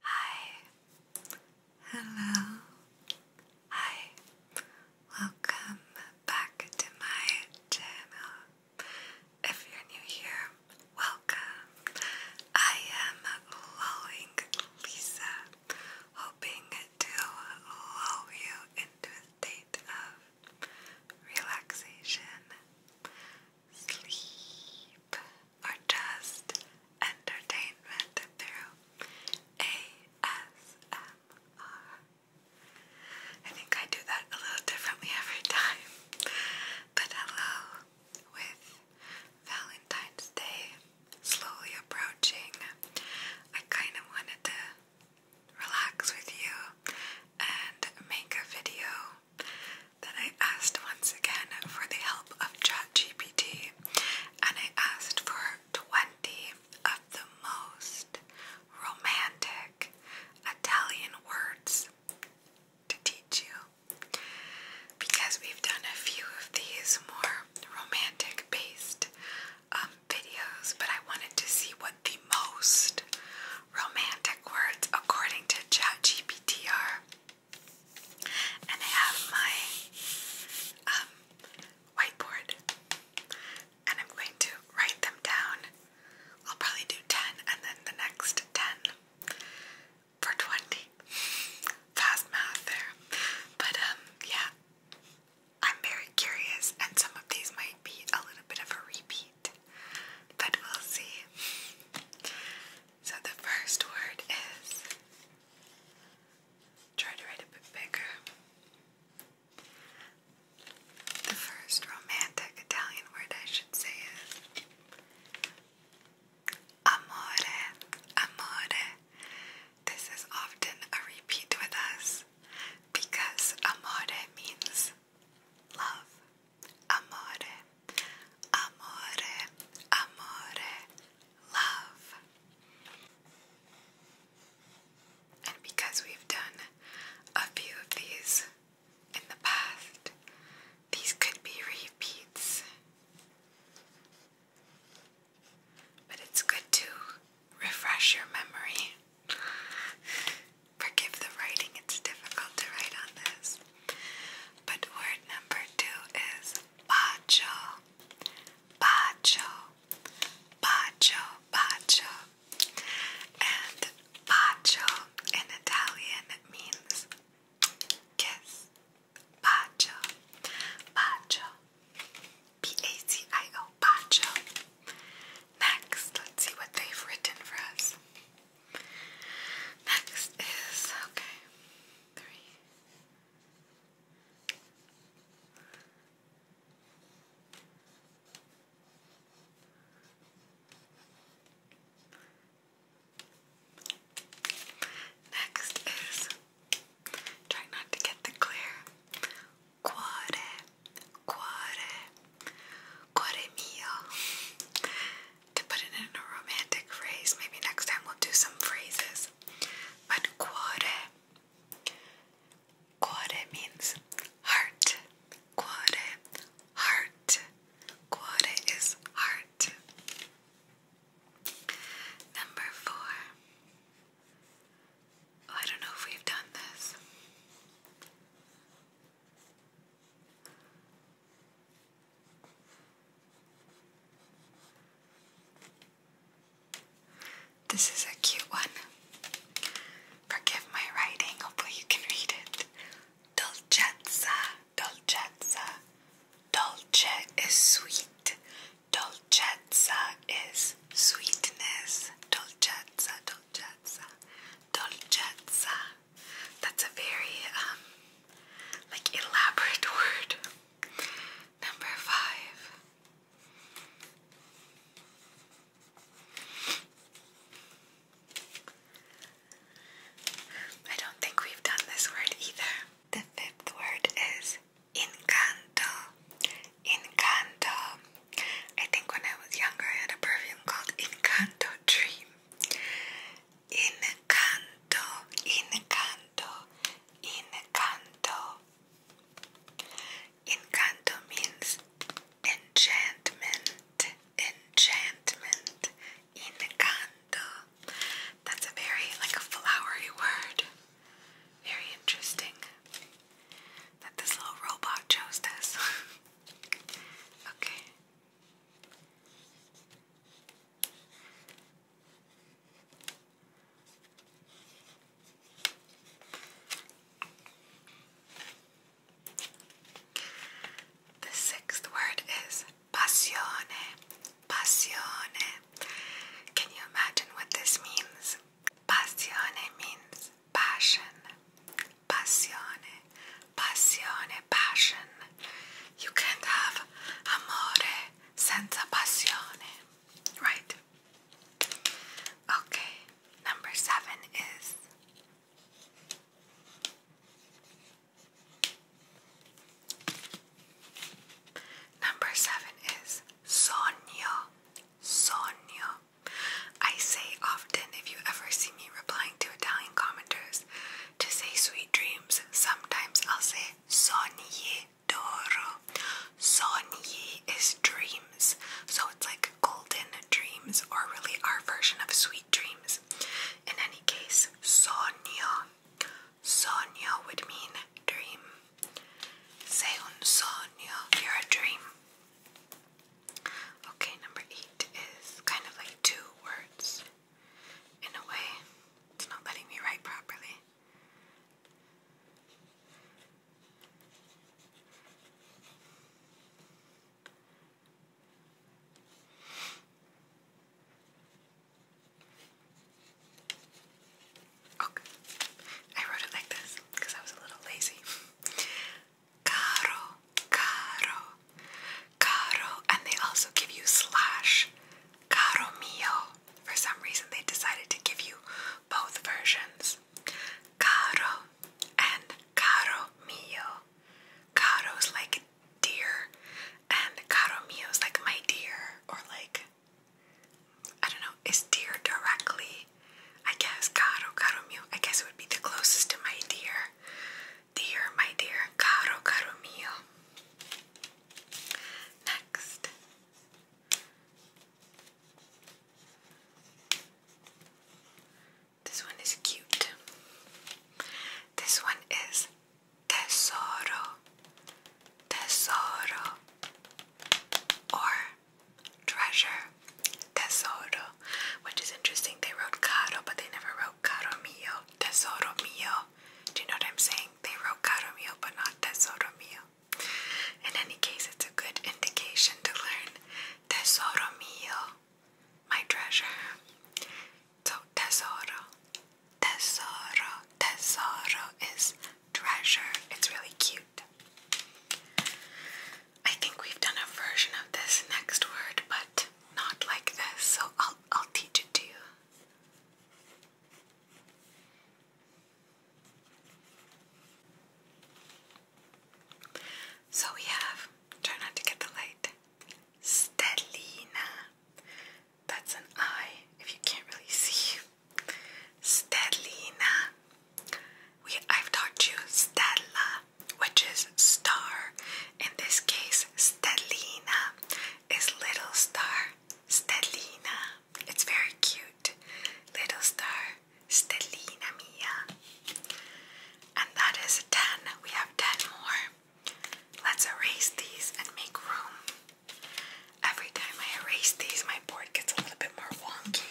Hi. Hello. Hi. Welcome back to my channel. If you're new here, welcome. I am lulling Lisa, hoping to lull you into a state of relaxation, sleep, or just entertainment through ASMR. I think I do that a little differently every time. But hello, with Valentine's Day slowly approaching, I kind of wanted to relax with you and make a video then I asked once again for the help of ChatGPT and I asked for 20 of the most romantic Italian words to teach you. Because we've done a few of these more romantic based um, videos, but I wanted to see what the most romantic words according to ChatGPT are. And I have my um, whiteboard. And I'm going to write them down. I'll probably do 10 and then the next 10 for 20. Fast math there. But um, yeah, I'm very curious and some of these might be a little bit of a repeat, but we'll see. So the first word is try to write a bit bigger. The first romantic Italian word I should say is amore, amore. This is often a repeat with us because amore means love amore, amore, amore, love. And because we've done a few of these in the past, these could be repeats. But it's good to refresh your memory. Forgive the writing, it's difficult to write on this. But word number two is bacho, bacho, bacho, bacho. And bacio in Italian means kiss. Bacio, bacio, B-A-C-I-O, bacio. Next, let's see what they've written for us. Next is okay. Three. Next is try not to get the clear cuore, cuore, cuore mio to put it in a romantic phrase. Maybe next time we'll do some phrases. But cuore. Cuore means heart. Cuore, heart. Cuore is heart. Number four. Oh, I don't know if we've done this. This is a cute one. Forgive my writing, hopefully, you can read it. Dolcezza, dolcezza. Dolce is sweet. Dolcezza is sweetness. Dolcezza, dolcezza. Dolcezza. That's a very um, like elaborate word. Number five. I don't think we've done this word either. The fifth word is encanto. Encanto. I think when I was younger I a perfume called Encanto Dream. Encanto, encanto, encanto. Encanto means enchantment, enchantment, encanto. That's a very like a flowery word. Very interesting that this little robot chose this. okay. The sixth word is passione. Passione. Can you imagine what this means? Passione means passion. Passione passione, passion. You can't have amore senza passione, right? Okay, number seven is number seven is sogno, sogno. I say often if you ever see me replying to Italian commenters to say sweet dreams Sometimes I'll say sonye doro. Sonye is dreams. So it's like golden dreams or really our version of sweet dreams. In any case, sonyo. Sonyo would mean dream. Say un sonyo, you're a dream. Okay, number eight is kind of like two words in a way. It's not letting me write properly. Okay, oh, I wrote it like this because I was a little lazy. Caro, caro, caro, and they also give you slash caro mio. For some reason, they decided to give you both versions caro and caro mio. Caro's like dear, and caro mio's like my dear, or like I don't know, is dear directly. I guess caro, caro mio. I guess it would be the closest to my dear. Dear, my dear, caro, caro Next. This one is cute. This one is tesoro, tesoro, or treasure, tesoro, which is interesting. They wrote caro, but they never wrote caro tesoro mio. Do you know what I'm saying? They wrote caro mio, but not tesoro mio. In any case, it's a good indication to learn tesoro mio, my treasure. So tesoro, tesoro, tesoro is treasure. It's really cute. I think we've done a version of this next word, but not like this, so I'll I'll, teach it to you. So we have, try not to get the light, Stellina. That's an I, if you can't really see. Stellina. We, I've taught you Stella, which is star. In this case, Stellina is little star. Stellina. It's very cute. Little star. Stellina mia. And that is 10. We have 10 more. Let's erase these and make room. Every time I erase these, my board gets a little bit more wonky.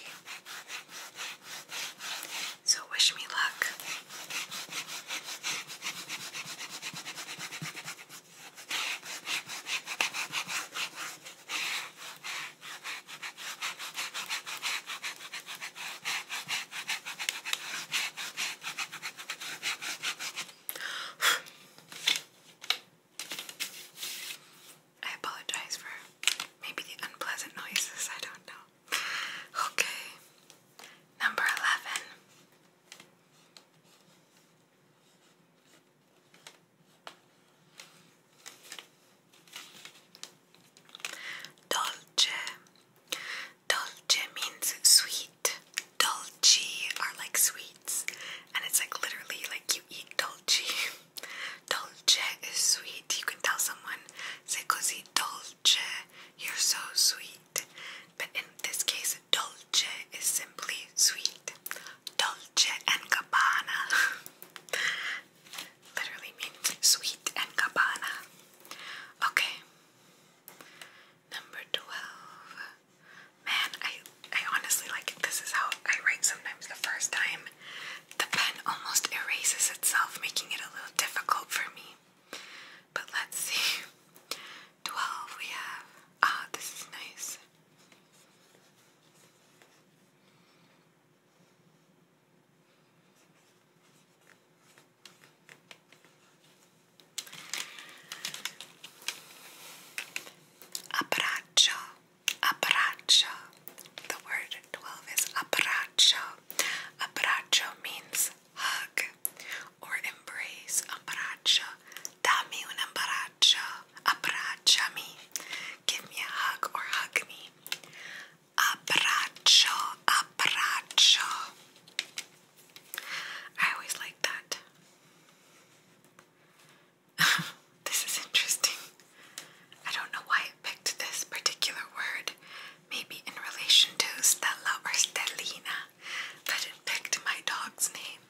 So wish me luck. I apologize for maybe the unpleasant noises, I don't know. Okay, number 11. Dolce. Dolce means sweet. Dolci are like sweets, and it's like literally like you eat dolci. Dolce is sweet. You can tell someone, "Sei così dolce." You're so sweet but in this case, dolce is simply sweet. Dolce and Gabbana literally means sweet and Gabbana. Okay, number twelve. Man, I I honestly like This is how I write sometimes. The first time, the pen almost erases itself, making it a little difficult for me. But let's see. 12 we have. Ah, this is nice. Abbraccio, abbraccio. The word 12 is abbraccio. Abbraccio means hug or embrace, abbraccia, dammi un abbraccio, abbracciami, give me a hug or hug me, abbraccio, abbraccio. I always like that. this is interesting. I don't know why it picked this particular word maybe in relation to Stella or Stellina, but it picked my dog's name.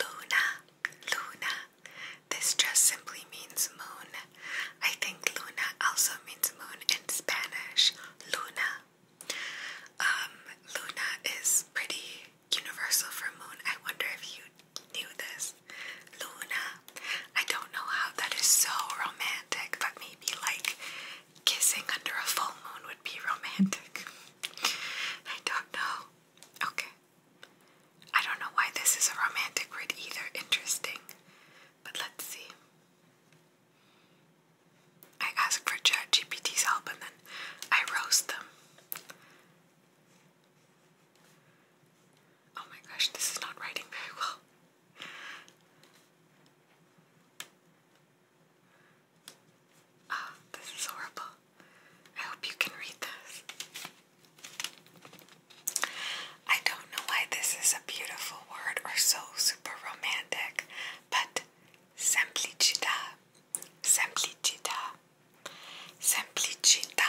Luna, Luna. This just simply means moon. I think Luna also means moon in Spanish. Luna. Um, Luna is pretty universal for moon. I wonder if you knew this. Luna. I don't know how that is so romantic, but maybe like kissing under a full moon would be romantic. I don't know. Okay. I don't know why this is a romantic word either. Interesting. But let's see. I asked for ChatGPT's help and then I roast them. Oh my gosh, this is not writing very well. Ah, this is horrible. I hope you can read this. I don't know why this is a beautiful word or so super romantic, but semplicità, semplicità, semplicità.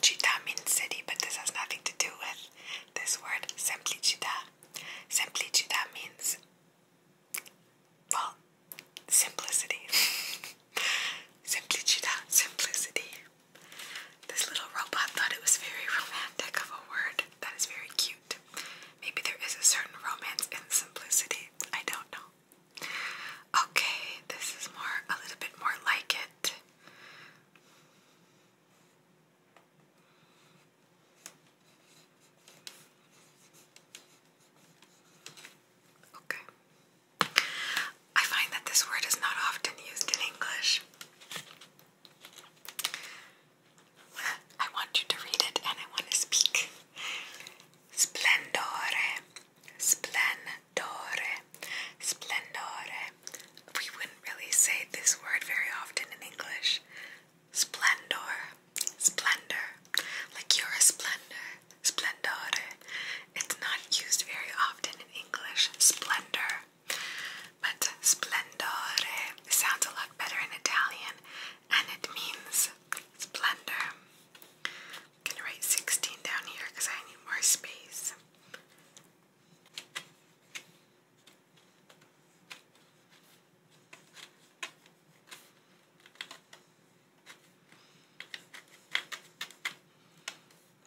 Chita means city, but this has nothing to do with this word semplicità. Semplicità means, well, simplicity. semplicità, simplicity. This little robot thought it was very romantic of a word that is very cute. Maybe there is a certain romance in simplicity. I don't know. Okay, this is more a little bit more like it. Okay. I find that this word is not often used in English. I want you to read it and I want to speak. Splendore, splendore, splendore. We wouldn't really say this word very often in English. Splendor, splendor, like you're a splendor, splendore. It's not used very often in English, splendor, but splendore sounds a lot better in Italian and it means splendor. gonna write 16 down here because I need more space.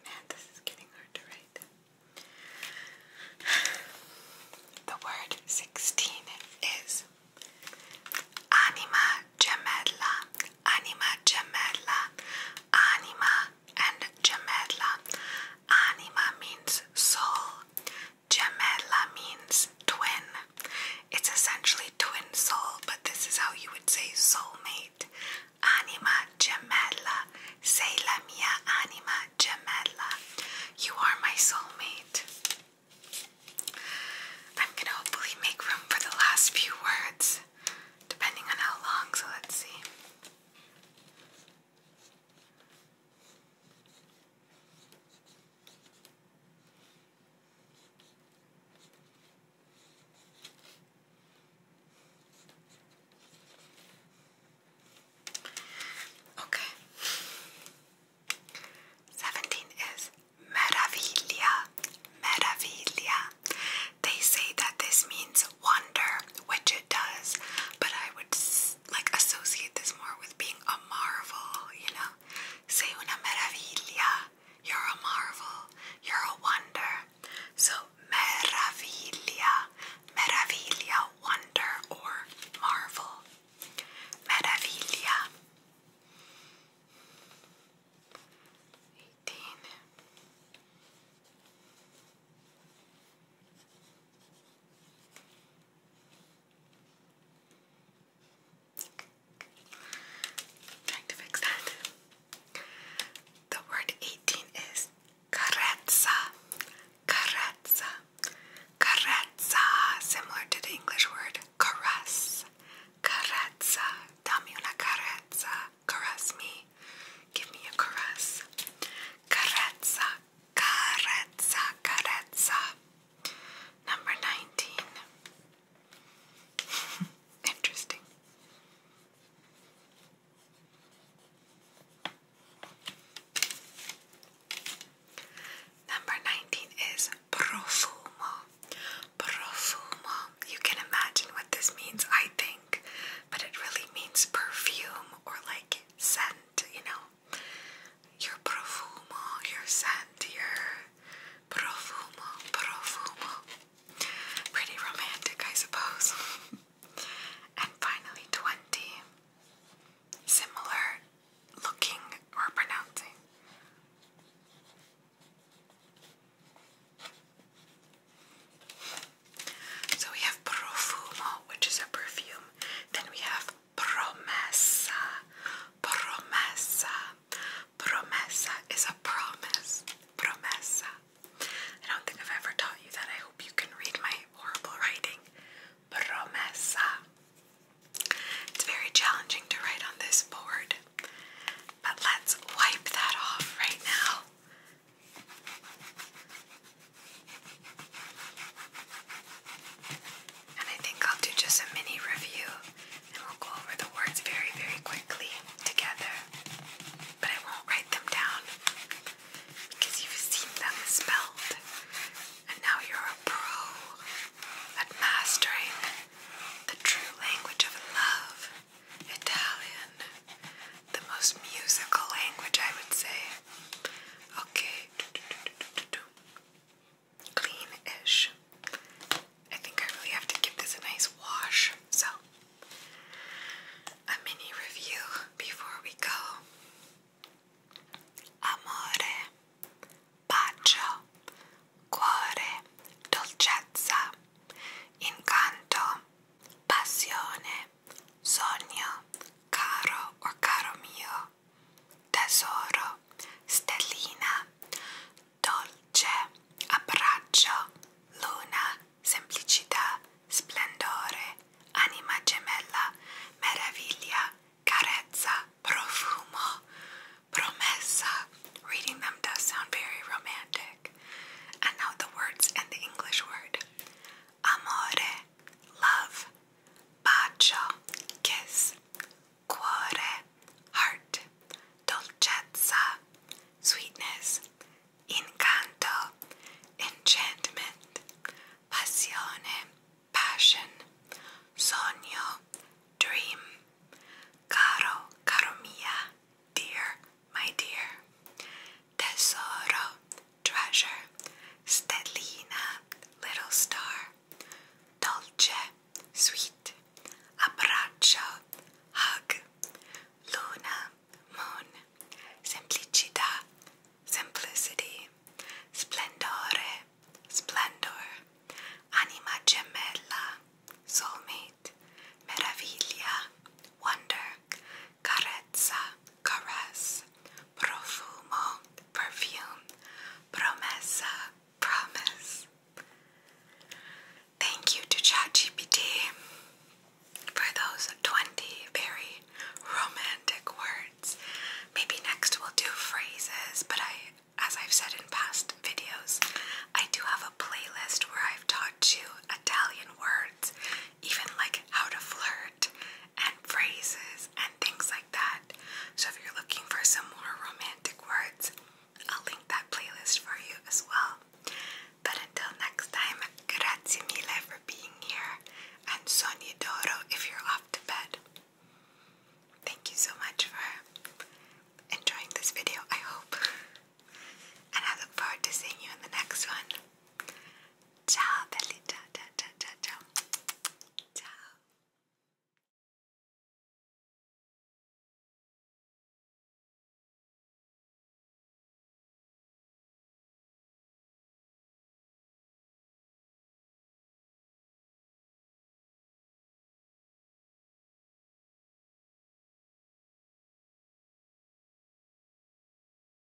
Man, this is getting hard to write. The word 16 is anima gemella, anima gemella, anima and gemella. Anima means soul, Gemella means twin. It's essentially twin soul, but this is how you would say soulmate. Anima gemella, Say la mia anima gemella. You are my soulmate. I'm gonna hopefully make room for the last few words, depending on how long, so let's see. Okay. 17 is meraviglia. Meraviglia. They say that this means wonder, which it does, but I would like associate this more with being a marvel, you know? Sei una meraviglia. You're a marvel. You're a wonder. So meraviglia, meraviglia, wonder or marvel. Meraviglia. 18. Trying to fix that. The word 18 is carezza. Carezza. Carezza, similar to the English word caress. Carezza. Dammi una carezza. Caress me. Give me a caress. Carezza carezza, carezza. Number 19. Interesting. Number 19 is profumo. Profumo. You can imagine what this means, I think, but it really means perfume or like scent, you know your profumo, your scent, profumo, profumo. Pretty romantic, I suppose. and finally, 20. Similar looking or pronouncing. So we have profumo, which is a perfume. Then we have promessa. Promessa. Promessa is a promise. Promessa. I don't think I've ever taught you that. I hope you can read my horrible writing. Promessa. It's very challenging to write on this board. But let's wipe that off right now. And I think I'll do just a mini review and we'll go over the words very, very quickly together. But I won't write them down because you've seen them spelled. And now you're a pro at mastering the true language of love, Italian, the most musical language, I would say. Okay, clean ish. I think I really have to give this a nice wash. So, a mini review before we go. Amore, bacio, cuore, dolcezza, incanto, passione, sogno, caro o caro mio, tesoro, stellina, dolce, abbraccio, luna, semplicità, splendore, anima gemella, meraviglia, carezza, profumo, promessa. Reading them does sound very romantic. And now the words and the English word amore, love, bacio, kiss, cuore, heart, dolcezza, sweetness, incanto, enchantment, passione, passion, sogno, dream, caro, caro mia, dear, my dear, tesoro, Treasure, Stellina, Little Star, Dolce, Sweet, Abbraccio, Hug, Luna, Moon, Semplicità, Simplicity, Splendore, Splendor, Anima Gemella, Soulmate, Meraviglia, Wonder, carezza, caress, profumo, perfume, promessa, promise. Thank you to ChatGPT for those 20 very romantic words. Maybe next we'll do phrases, but I, as I've said in past videos, I do have a playlist where I've taught you Italian words even like how to flirt and phrases and things like that. So if you're looking for some more romantic words, I'll link that playlist for you as well. But until next time, grazie mille for being here and sogni d'oro if you're off to bed. Thank you so much for enjoying this video, I hope. And I look forward to seeing you in the next one. Ciao belli, ciao, ciao, ciao, ciao, ciao. Ciao.